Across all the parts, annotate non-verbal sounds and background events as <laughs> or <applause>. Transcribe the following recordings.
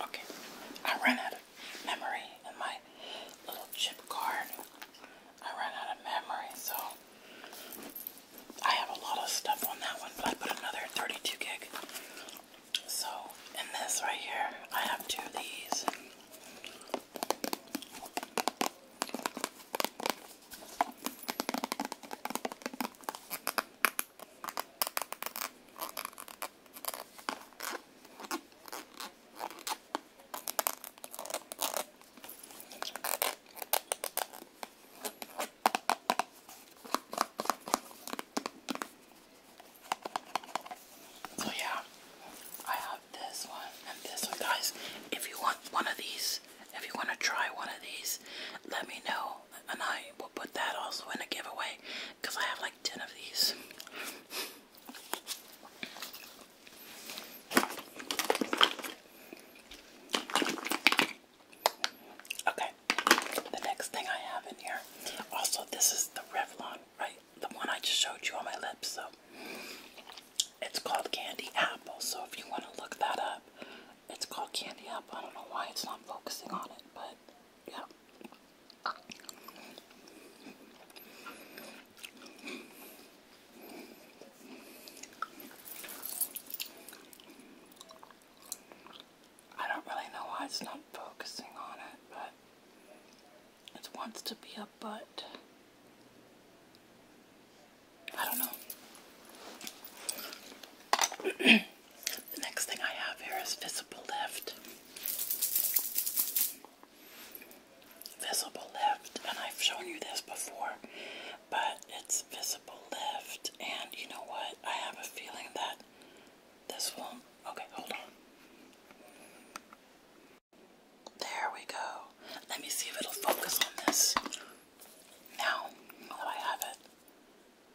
Okay, I ran out of memory in my little chip card. I ran out of memory, so I have a lot of stuff on that one, but I put another 32 gig. So, in this right here, I have two of these. So yeah, I have this one and this one guys. If you want one of these, if you want to try one of these, let me know and I will put that also in a giveaway because I have like 10 of these. Okay, the next thing I have in here, also, this is the Revlon, right? The one I just showed you on my lips, so it's called Candy Apple. So, if you want to look that up, it's called Candy Apple. I don't know why it's not focusing on it, but yeah. I don't really know why it's not focusing on it, but it wants to be a butt. I don't know. <clears throat> The next thing I have here is Visible Lift. Visible Lift, and I've shown you this before, but it's Visible Lift, and you know what? I have a feeling that this will Okay, hold on. There we go. Let me see if it'll focus on this. Now, I have it,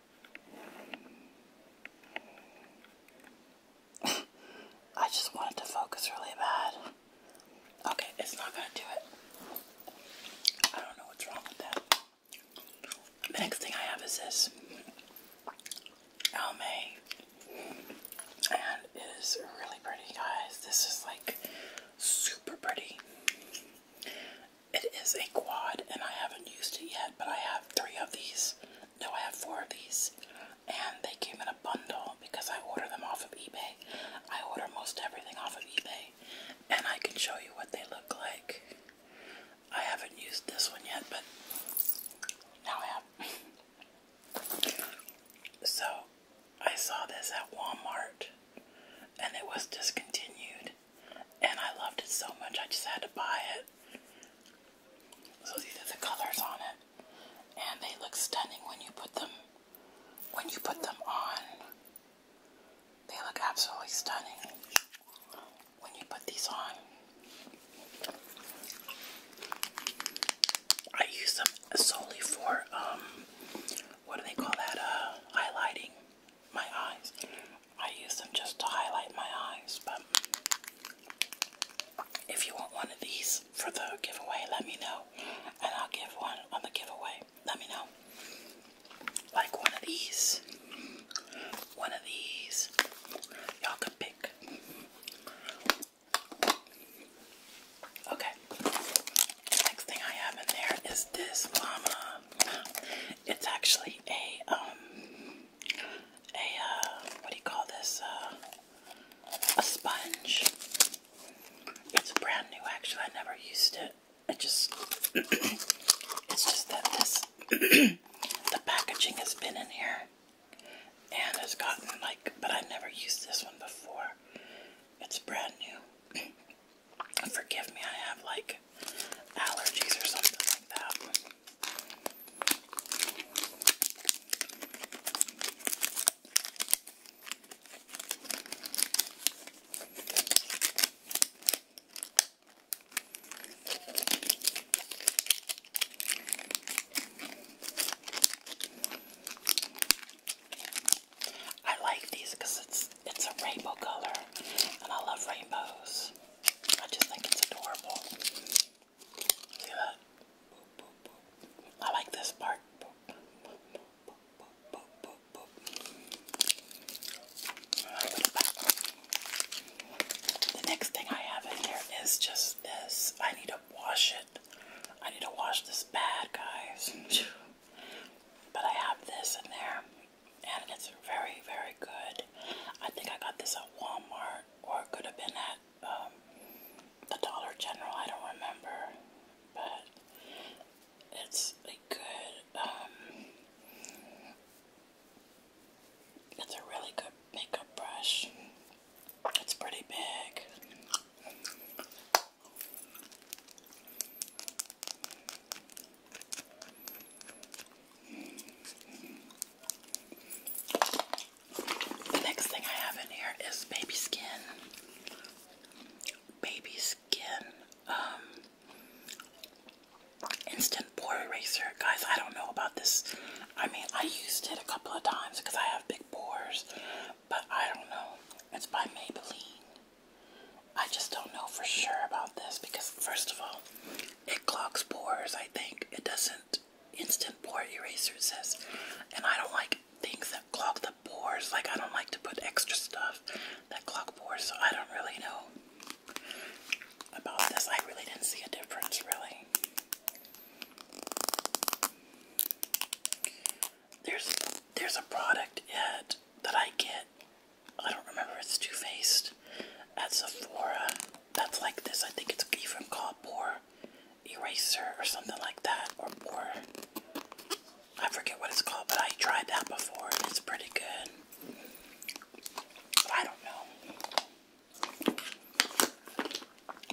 <coughs> I just wanted to focus really bad. Okay, it's not gonna do it. I don't know what's wrong with that. The next thing I have is this Almay. And it is really pretty, guys. This is like super pretty. It is a quad, and I haven't used it yet, but I have three of these. No, I have four of these, and they came in a bundle because I order them off of eBay. I order most everything off of eBay, and I can show you what they look like. I haven't used this one yet, but now I have. <laughs> so, I saw this at Walmart, and it was discontinued, and I loved it so much I just had to buy it. So these are the colors on it, and they look stunning when you put them when you put them on. They look absolutely stunning when you put these on. I use them solely for um, what do they call that? Uh, highlighting my eyes. I use them just to highlight my eyes, but if you want one of these for the giveaway, let me know. And I'll give one on the giveaway. Let me know. Like one of these. One of these. Y'all can pick. Okay. Next thing I have in there is this llama. It's actually a um a uh what do you call this? Uh, a sponge. It's brand new actually, I never used it. I just <clears throat> it's just that this <clears throat> the packaging has been in here and has gotten like but I've never used this one before. It's brand new. <clears throat> Forgive me, I have like allergies or something like that. I like these because it's it's a rainbow color, and I love rainbows. I just think it's adorable. See that? I like this part. The next thing I have in here is just this. I need to wash it. I need to wash this bad, guys. <laughs> But I have this in there and it's very, very good. I think I got this at Walmart, or it could have been at um, the Dollar General. I don't remember, but it's a good. Um, it's a really good makeup brush. It's pretty big. The next thing I have in here is baby skin. Baby skin. Um, instant pore eraser. Guys, I don't know about this. I mean, I used it a couple of times because I have big pores, but I don't know. It's by Maybelline. I just don't know for sure about this because, first of all, it clogs pores, I think. It doesn't. Instant pore eraser says. And I don't like things that clog the pores. Like, I don't like to put extra stuff that clog pores, so I don't really know about this. I really didn't see a difference, really. There's there's a product yet that I get I don't remember it's Too Faced at Sephora. That's like this. I think it's even called Pore Eraser or something like that. Or Pore. I forget what it's called, but I tried that before and it's pretty good. I don't know.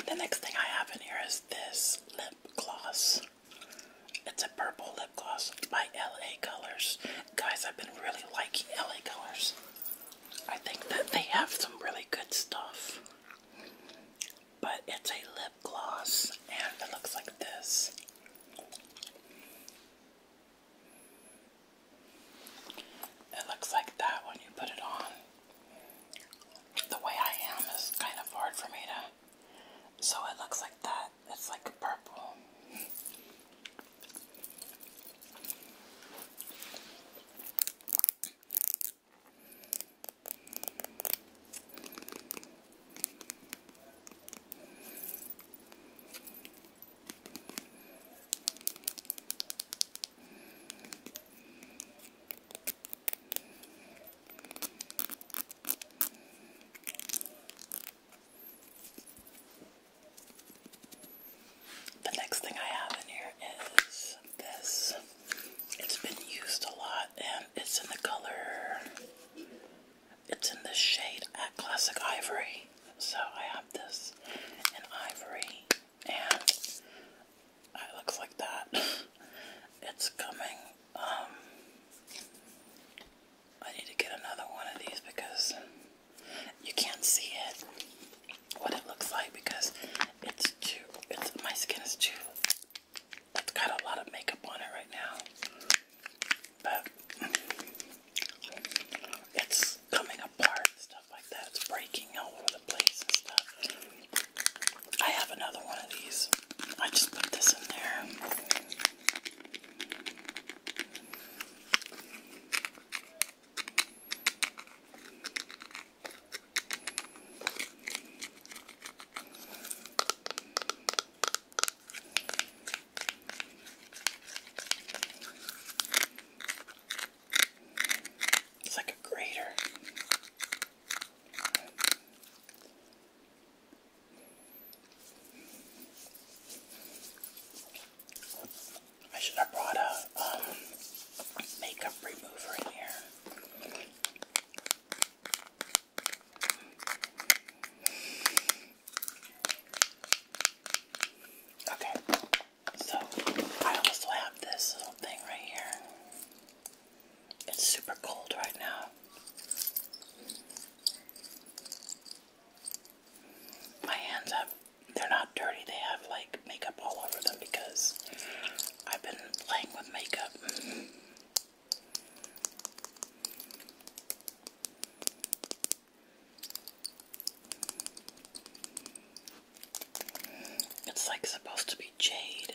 The next thing I have in here is this lip gloss. It's a purple lip gloss by LA Colors. Guys, I've been really liking LA Colors. I think that they have some really good stuff. But it's a lip gloss and it looks like this. It looks like that when you put it on. The way I am is kind of hard for me to. So it looks like that. It's like purple. The next thing I have in here is this. It's been used a lot and it's in the color, it's in the shade at Classic Ivory. So I have this in ivory and it looks like that. <laughs> It's coming, um, I need to get another one of these because you can't see it what it looks like because it's too it's my skin is too it's got a lot of makeup on it right now. But it's coming apart stuff like that. It's breaking all over the place and stuff. I have another one of these. I just put this in there. It's like a grater. I should have brought a um, makeup remover in here. Okay, so I also have this little thing right here. It's super cold right now. My hands have, they're not dirty, they have like makeup all over them because I've been playing with makeup. It's like supposed to be jade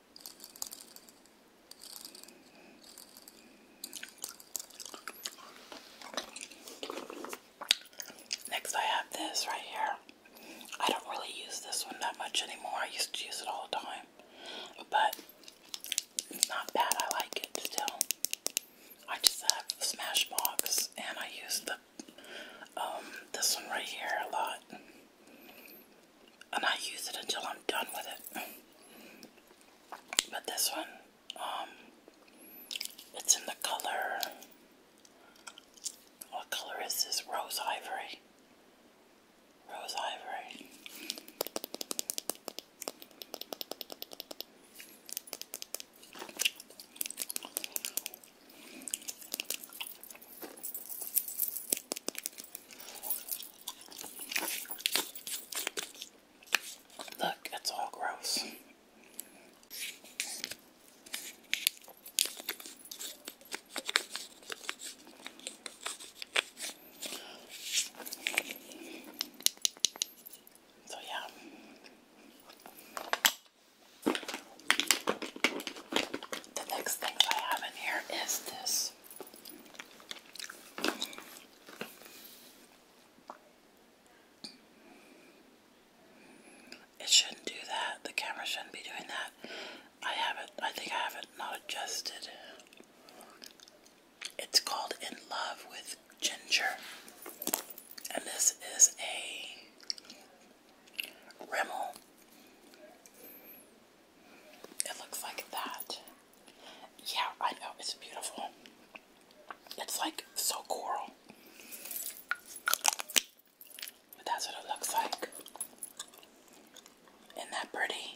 Next, I have this right here. I don't really use this one that much anymore. I used to use it all the time, but it's not bad. I like it still. I just have Smashbox, and I use the um, this one right here a lot and I use it until I'm done with it. But this one, um, it's in the color. What color is this? Rose ivory. Rose ivory. Look, it's all gross. So, yeah the next thing I have in here is this. It shouldn't do that. The camera shouldn't be doing that. I haven't, I think I haven't not adjusted. It's called In Love with Ginger. And this is a Rimmel it looks like that. Yeah, I know. It's beautiful. It's like so coral. But that's what it looks like. Isn't that pretty?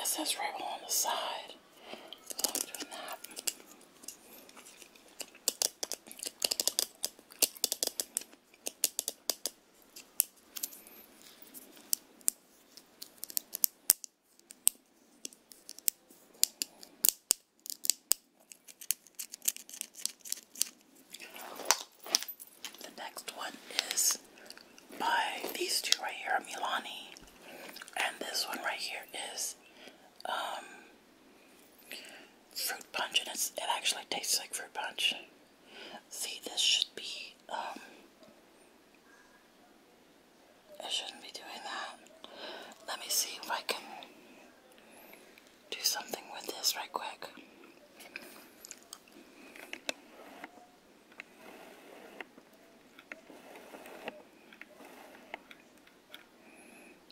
It says rebel on the side. So I'm doing that. The next one is by these two right here, Milani, and this one right here is um, fruit punch, and it's, it actually tastes like fruit punch. See, this should be um, I shouldn't be doing that. Let me see if I can do something with this right quick.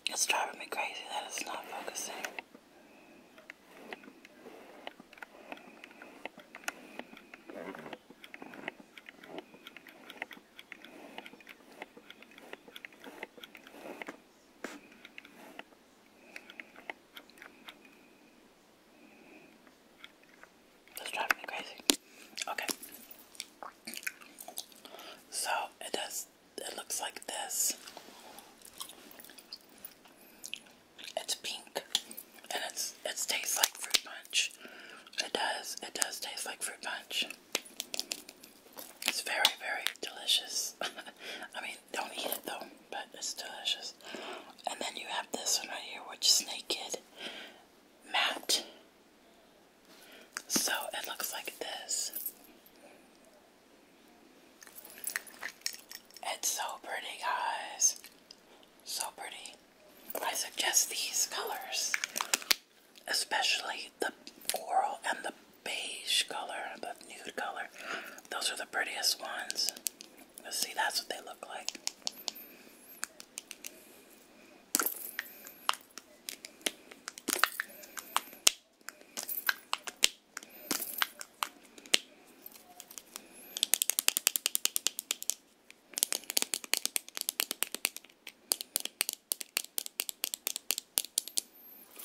It's driving me crazy that it's not focusing. That's driving me crazy. Okay. So it does it looks like this. It's pink and it's it tastes like fruit punch. It does, it does taste like fruit punch. It's very, very delicious. <laughs> I mean, don't eat it though, but it's delicious. And then you have this one right here, which is naked matte. So it looks like this. It's so pretty, guys. So pretty. I suggest these colors especially the coral and the beige color, the nude color. Those are the prettiest ones. let see, that's what they look like.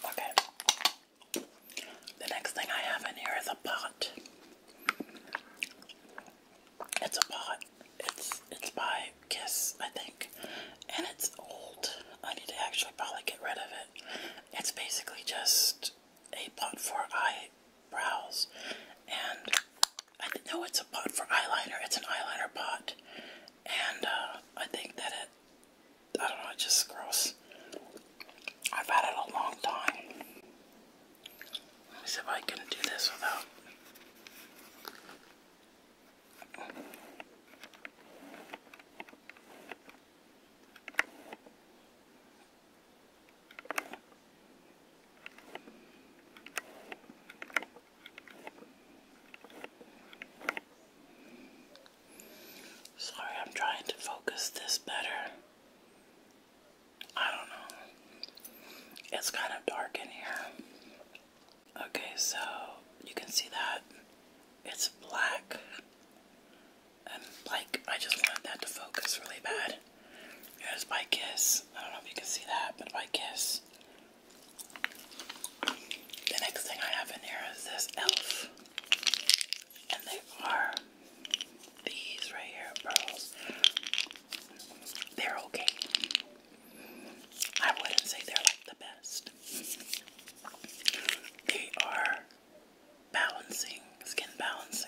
Okay. The next thing I have in here is a pot. It's a pot. It's it's by Kiss, I think. And it's old. I need to actually probably get rid of it. It's basically just a pot for eyebrows. And I know it's a pot for eyeliner. It's an eyeliner pot, and uh, I think that it. I don't know. It's just gross. I've had it a long time. Let if I can do this without. Sorry, I'm trying to focus this better. I don't know. It's kind of dark in here. Okay, so you can see that it's black. And like, I just wanted that to focus really bad. Here's my kiss. I don't know if you can see that, but my kiss the next thing I have in here is this elf. And they are these right here, pearls. They're okay. I wouldn't say they're like the best. They are balancing, skin balancing.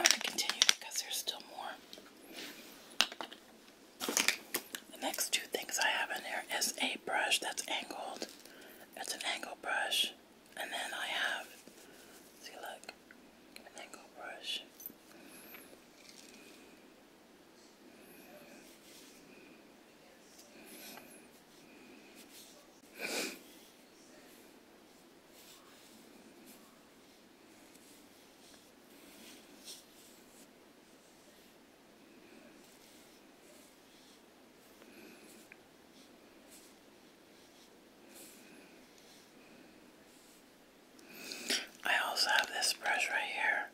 I'm going to continue because there's still more. The next two things I have in here is a brush that's angled. It's an angle brush. And then I have, see look, an angle brush. I also have this brush right here,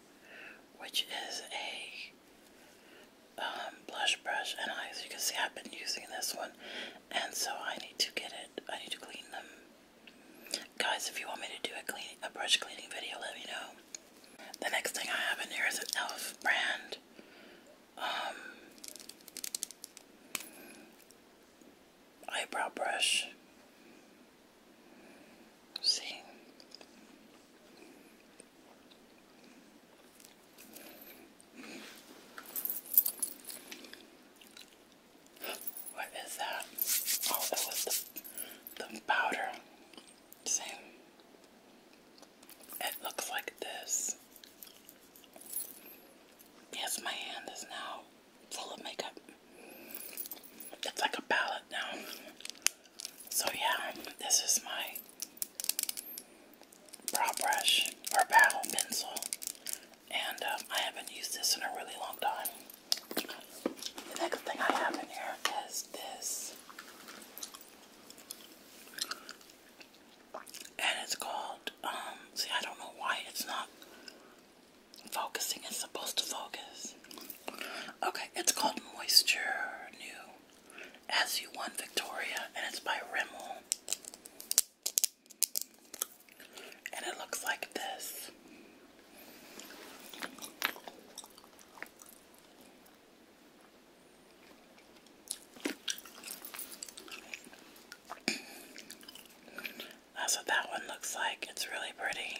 which is a um, blush brush, and as you can see, I've been using this one, and so I need to get it. I need to clean them, guys. If you want me to do a clean a brush cleaning video, let me know. The next thing I have in here is an e.l.f. brand um, eyebrow brush. see. What is that? Oh, it was the, the powder. See? It looks like this. Yes, my hand is now full of makeup. It's like a palette now. So, yeah, this is my brow brush or brow pencil. And um, I haven't used this in a really long time. The next thing I have in here is this. And it's called, um, see, I don't know why it's not focusing. It's supposed to focus. Okay, it's called Moisture New SU1 Victoria, and it's by Rimmel. And it looks like this. That's what that one looks like. It's really pretty.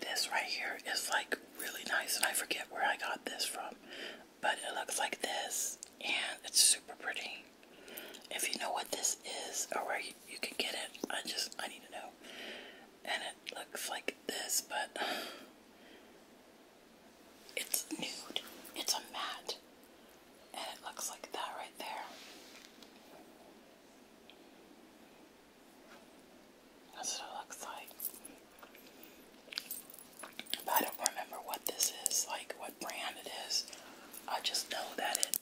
This right here is like really nice, and I forget where I got this from but it looks like this and it's super pretty. If you know what this is or where you, can get it, I just I need to know. And it looks like this, but <sighs> it's nude. It's a matte. And it looks like that right there. That's what it looks like. I don't remember what this is, like what brand it is. I just know that it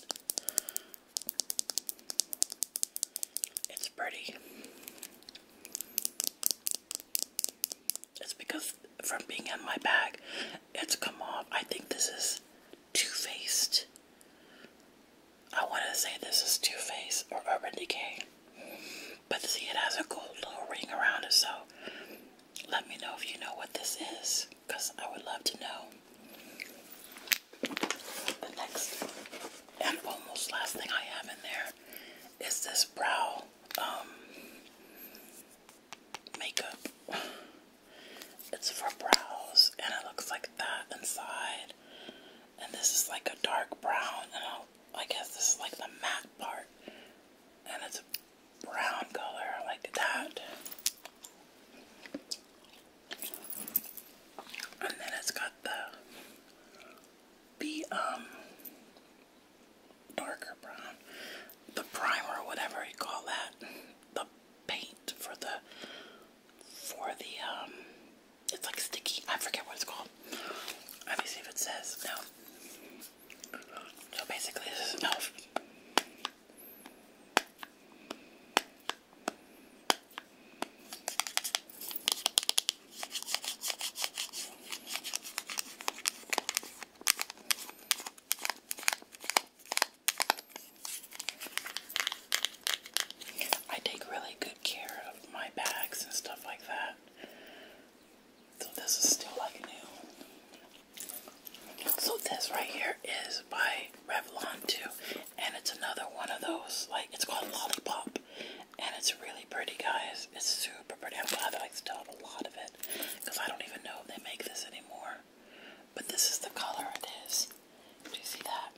it's pretty. It's because from being in my bag, it's come off. I think this is Too Faced. I want to say this is Too Faced or Urban Decay. But see, it has a gold little ring around it, so let me know if you know what this is, because I would love to know. The next and almost last thing I have in there is this brow um, makeup. It's for brows, and it looks like that inside. And this is like a dark brown, and i I guess this is like the matte part and it's a brown color. I like that. And then it's got the the um darker brown, the primer, whatever you call that, the paint for the for the um it's like sticky. I forget what it's called. Let me see if it says no. So basically, this is enough. I take really good care of my bags and stuff like that. So this is still like new. So this right here is by Revlon too. And it's another one of those, like it's called Lollipop. And it's really pretty guys. It's super pretty. I'm glad that I still have a lot of it. Because I don't even know if they make this anymore. But this is the color it is. Do you see that?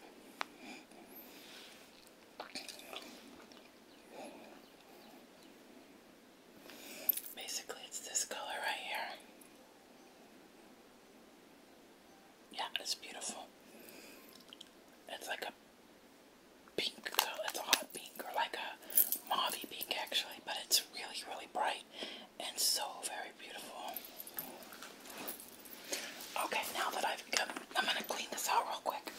Basically, it's this color right here. Yeah, it's beautiful. It's like a pink color. It's a hot pink or like a mauvey pink actually, but it's really, really bright and so very beautiful. Okay, now that I've I'm gonna clean this out real quick.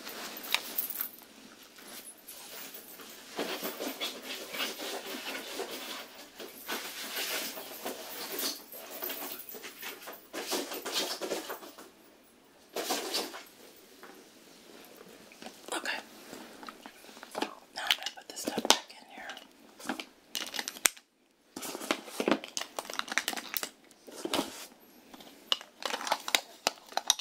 Okay. Now I'm going to put this stuff back in here.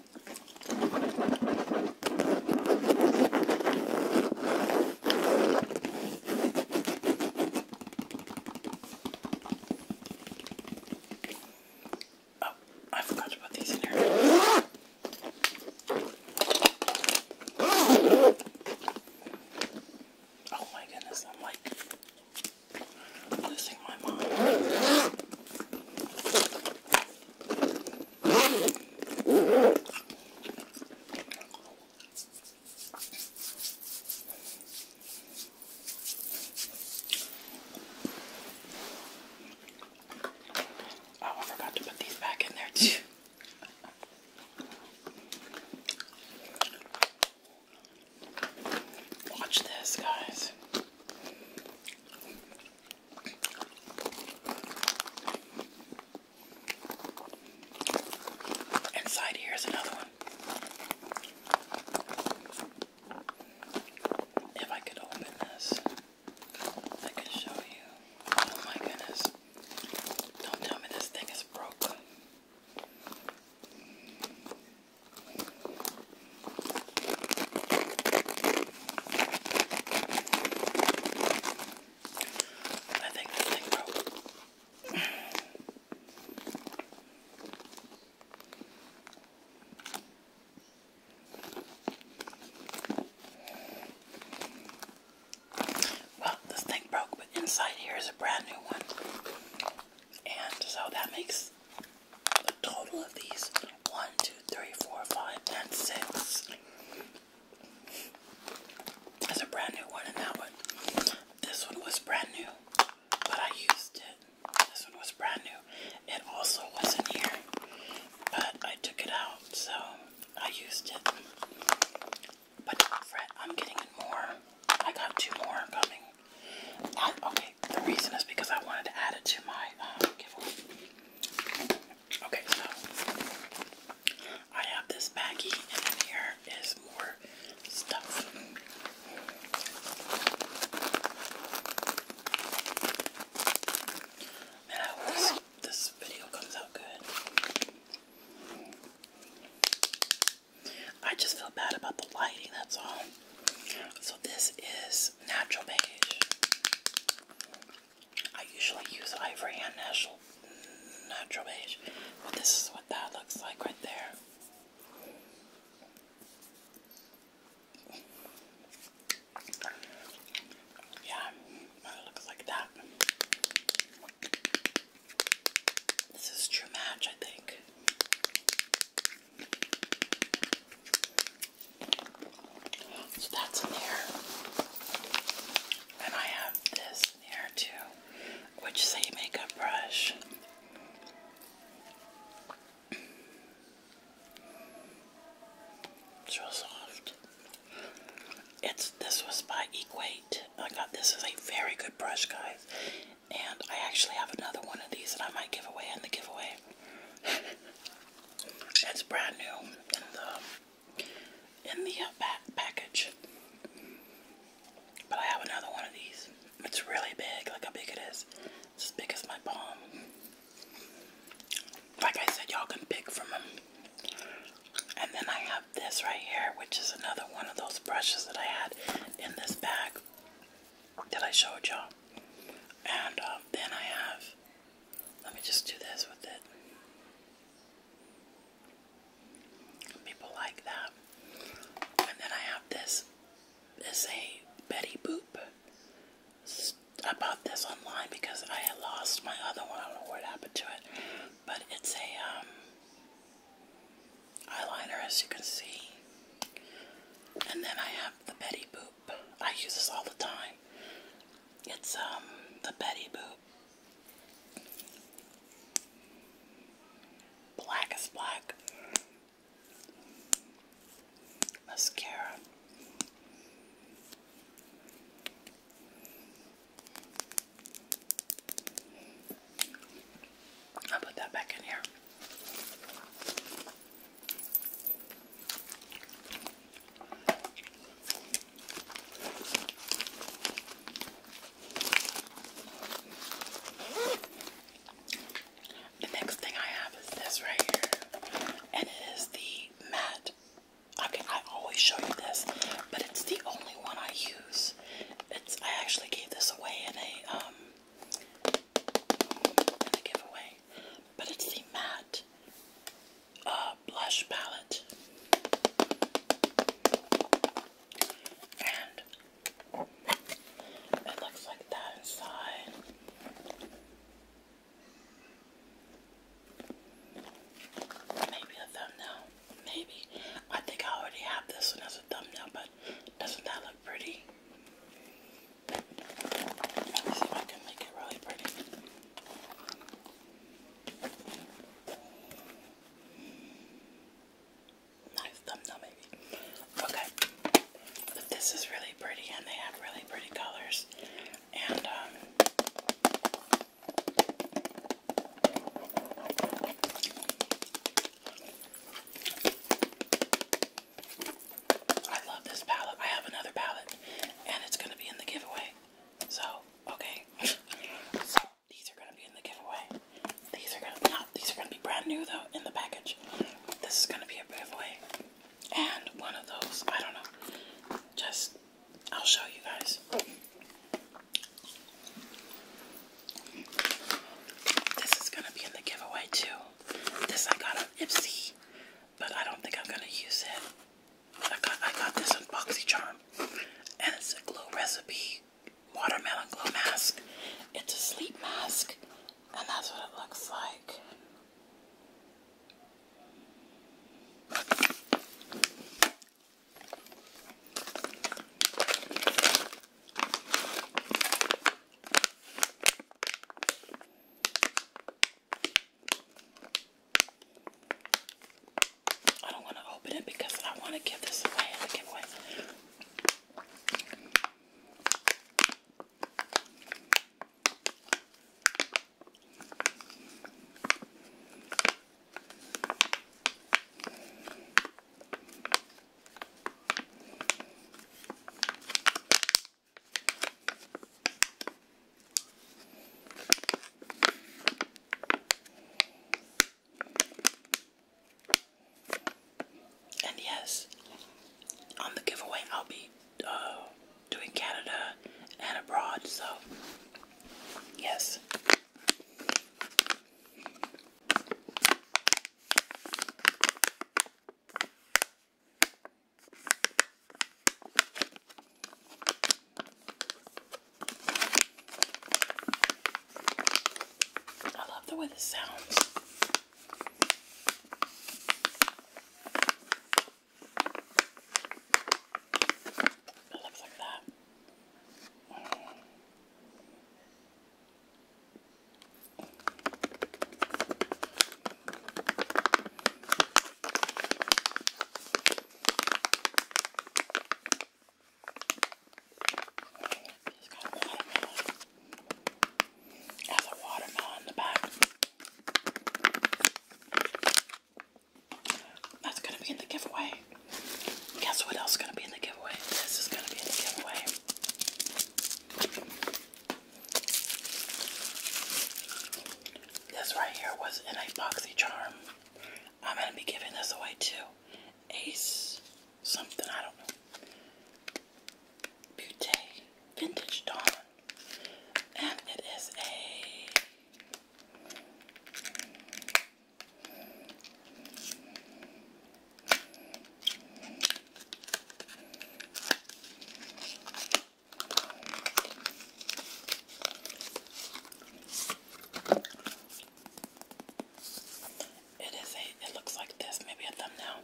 Oh, I forgot to put these in here. Oh my goodness, I'm like losing my mind. Oh, I forgot to put these back in there too. Watch this, guys. Inside here is another one. If I could open this, I could show you. Oh my goodness. Don't tell me this thing is broke. I think this thing broke. well, this thing broke, but inside here is a brand new one. And so that makes a total of these one, two, two, three, four, five, and six. It's a brand new one in that one. This one was brand new, but I used it. This one was brand new. It also was in here, but I took it out, so I used it. But fret, I'm getting more. I got two more coming. okay, the reason is because I wanted to add it to my uh, giveaway. Okay, so I have this baggie, and in here is more stuff. Man, I hope this video comes out good. I just feel bad about the lighting, that's all. So, this is natural beige. I usually use Ivory and Natural, natural Beige, but this is what that looks like right there. Yeah, looks like that. This is True Match, I think. So that's in there. And I have this in there too, which is a makeup brush. It's real soft. It's this was by Equate. I got this is a very good brush, guys. And I actually have another one of these that I might give away in the giveaway. <laughs> it's brand new in the in the back uh, package. But I have another one of these. It's really big. Look how big it is. It's as big as my palm. Like I said, y'all can pick from them. And then I have this right here, which is another one of those brushes that I had in this bag that I showed y'all. And uh, then I have let me just do this with it. People like that. And then I have this. This a Betty Boop. I bought this online because I had lost my other one. I don't know what happened to it. But it's a um, eyeliner, as you can see. And then I have the Betty Boop I use this all the time. It's um the Betty Boop. Black black. Mascara. I'll put that back in here. The next thing I have is this right here, and it is the matte. Okay, I always show you this, but it's the only one I use. It's I actually gave this away in a um a giveaway but it's the matte uh, blush palette. And it looks like that inside. Maybe a thumbnail. Maybe. I think I already have this one as a thumbnail, but doesn't that look pretty? Nice thumbnail maybe. Okay. this is really pretty and they have really pretty colors. And um, I love this palette. I have another palette, and it's going to be in the giveaway. So, okay. <laughs> so, these are going to be in the giveaway. These are not. These are going to be brand new though in the package. This is going to be a giveaway, and one of those. I don't know. Just I'll show you guys. This is going to be in the giveaway too. This I got on Ipsy but I don't think I'm gonna use it. I got I got this on BoxyCharm, and it's a glow recipe watermelon glow mask. It's a sleep mask, and that's what it looks like. I don't want to open it because I want to give this away. I give away. And yes, on the giveaway, I'll be uh, doing Canada and abroad, so yes. I love the way this sounds. It looks like that. Mm has a watermelon. in the back. That's gonna be in the giveaway. Guess what else is gonna be in the giveaway? This is gonna be in the giveaway. This right here was an epoxy charm. I'm gonna be giving this away too. Ace something, I don't know. Beauté Vintage Dawn. And it is a it is it looks like this, maybe a thumbnail.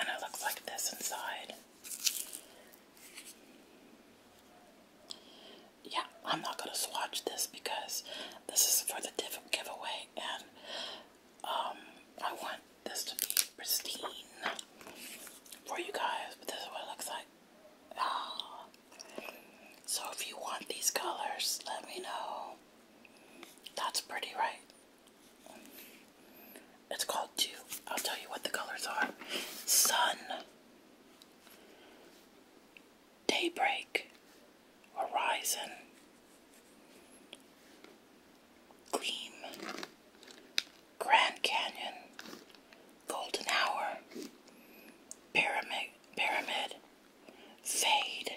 And it looks like this inside. Yeah, I'm not going to swatch this because this is for the giveaway and um, I want this to be pristine for you guys, but this is what it looks like. Ah. So if you want these colors, let me know. That's pretty, right? It's called two. I'll tell you what the colors are. Sun. Daybreak. Horizon. Green, Grand Canyon, Golden Hour, Pyramid, Pyramid, Fade,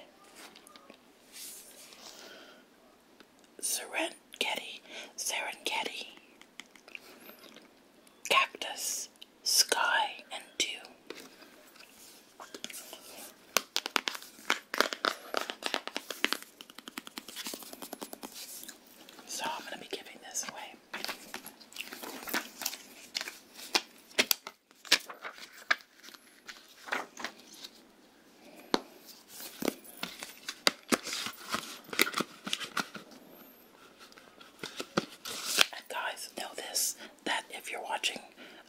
Serengeti, Serengeti, Cactus, Sky, and Dew. So I'm going to be giving this away. And guys, know this that if you're watching,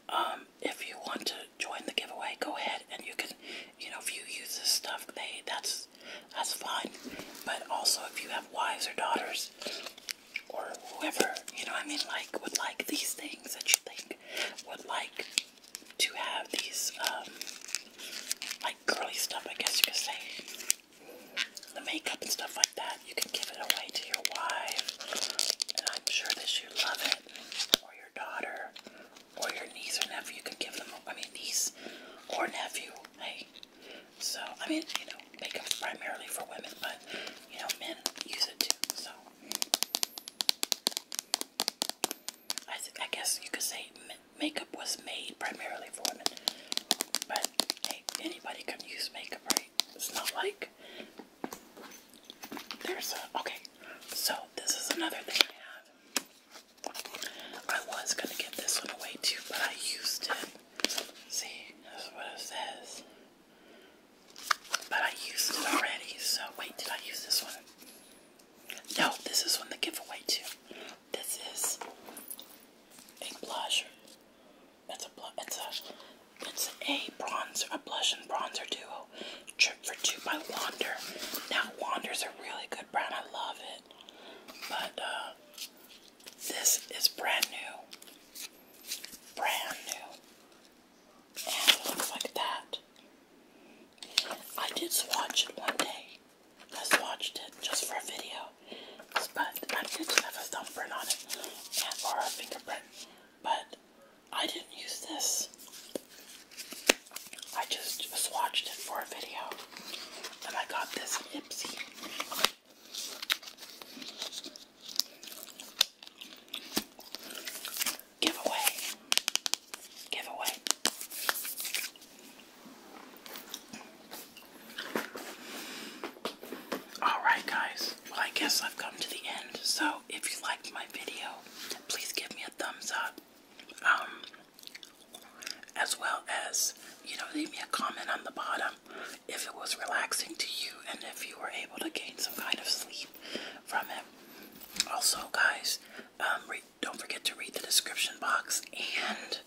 um, if you want to join the giveaway, go ahead it and you can you know if you use this stuff they that's that's fine but also if you have wives or daughters or whoever you know i mean like would like these things that you think would like to have these um like girly stuff i guess you could say the makeup and stuff like that you can give it away to your wife and i'm sure that you love it or your daughter or your niece or nephew you could give them, I mean, niece or nephew, hey. So, I mean, you know, makeup's primarily for women, but, you know, men use it too, so. I, I guess you could say makeup was made primarily for women, but anybody can use makeup, right? It's not like there's a okay. So this is another thing I have. I was gonna give this one away too, but I used it. See, that's what it says. But I used it already, so wait, did I use this one? No, this is one the giveaway too. This is a blush. It's a blush. It's a it's a bronzer, a blush and bronzer duo. Pro Trip for Two by Wander. Now, Wander's a really good brand. I love it. But uh, this is brand new. Brand new. And it looks like that. I did swatch it one day. I swatched it just for a video. But I didn't have a thumbprint on it. And, or a fingerprint. But I didn't use this. I just swatched it for a video and I got this at Giveaway. Giveaway. Alright guys, well I guess I've come to the end. So if you liked my video, please give me a thumbs up. Um, as well as, you know, leave me a comment on the bottom if it was relaxing to you and if you were able to gain some kind of sleep from it. Also, guys, um, don't forget to read the description box and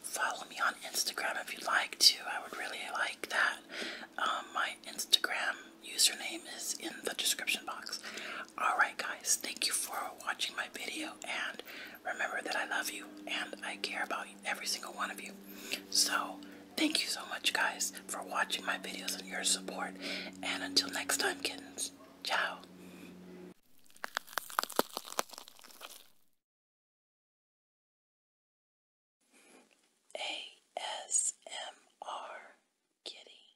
follow me on Instagram if you'd like to. I would really like that. Um, my Instagram username is in the description box. Alright, guys, thank you for watching my video and remember that I love you and I care about every single one of you. So, thank you so much, guys, for watching my videos and your support. And until next time, kittens, ciao. ASMR Kitty.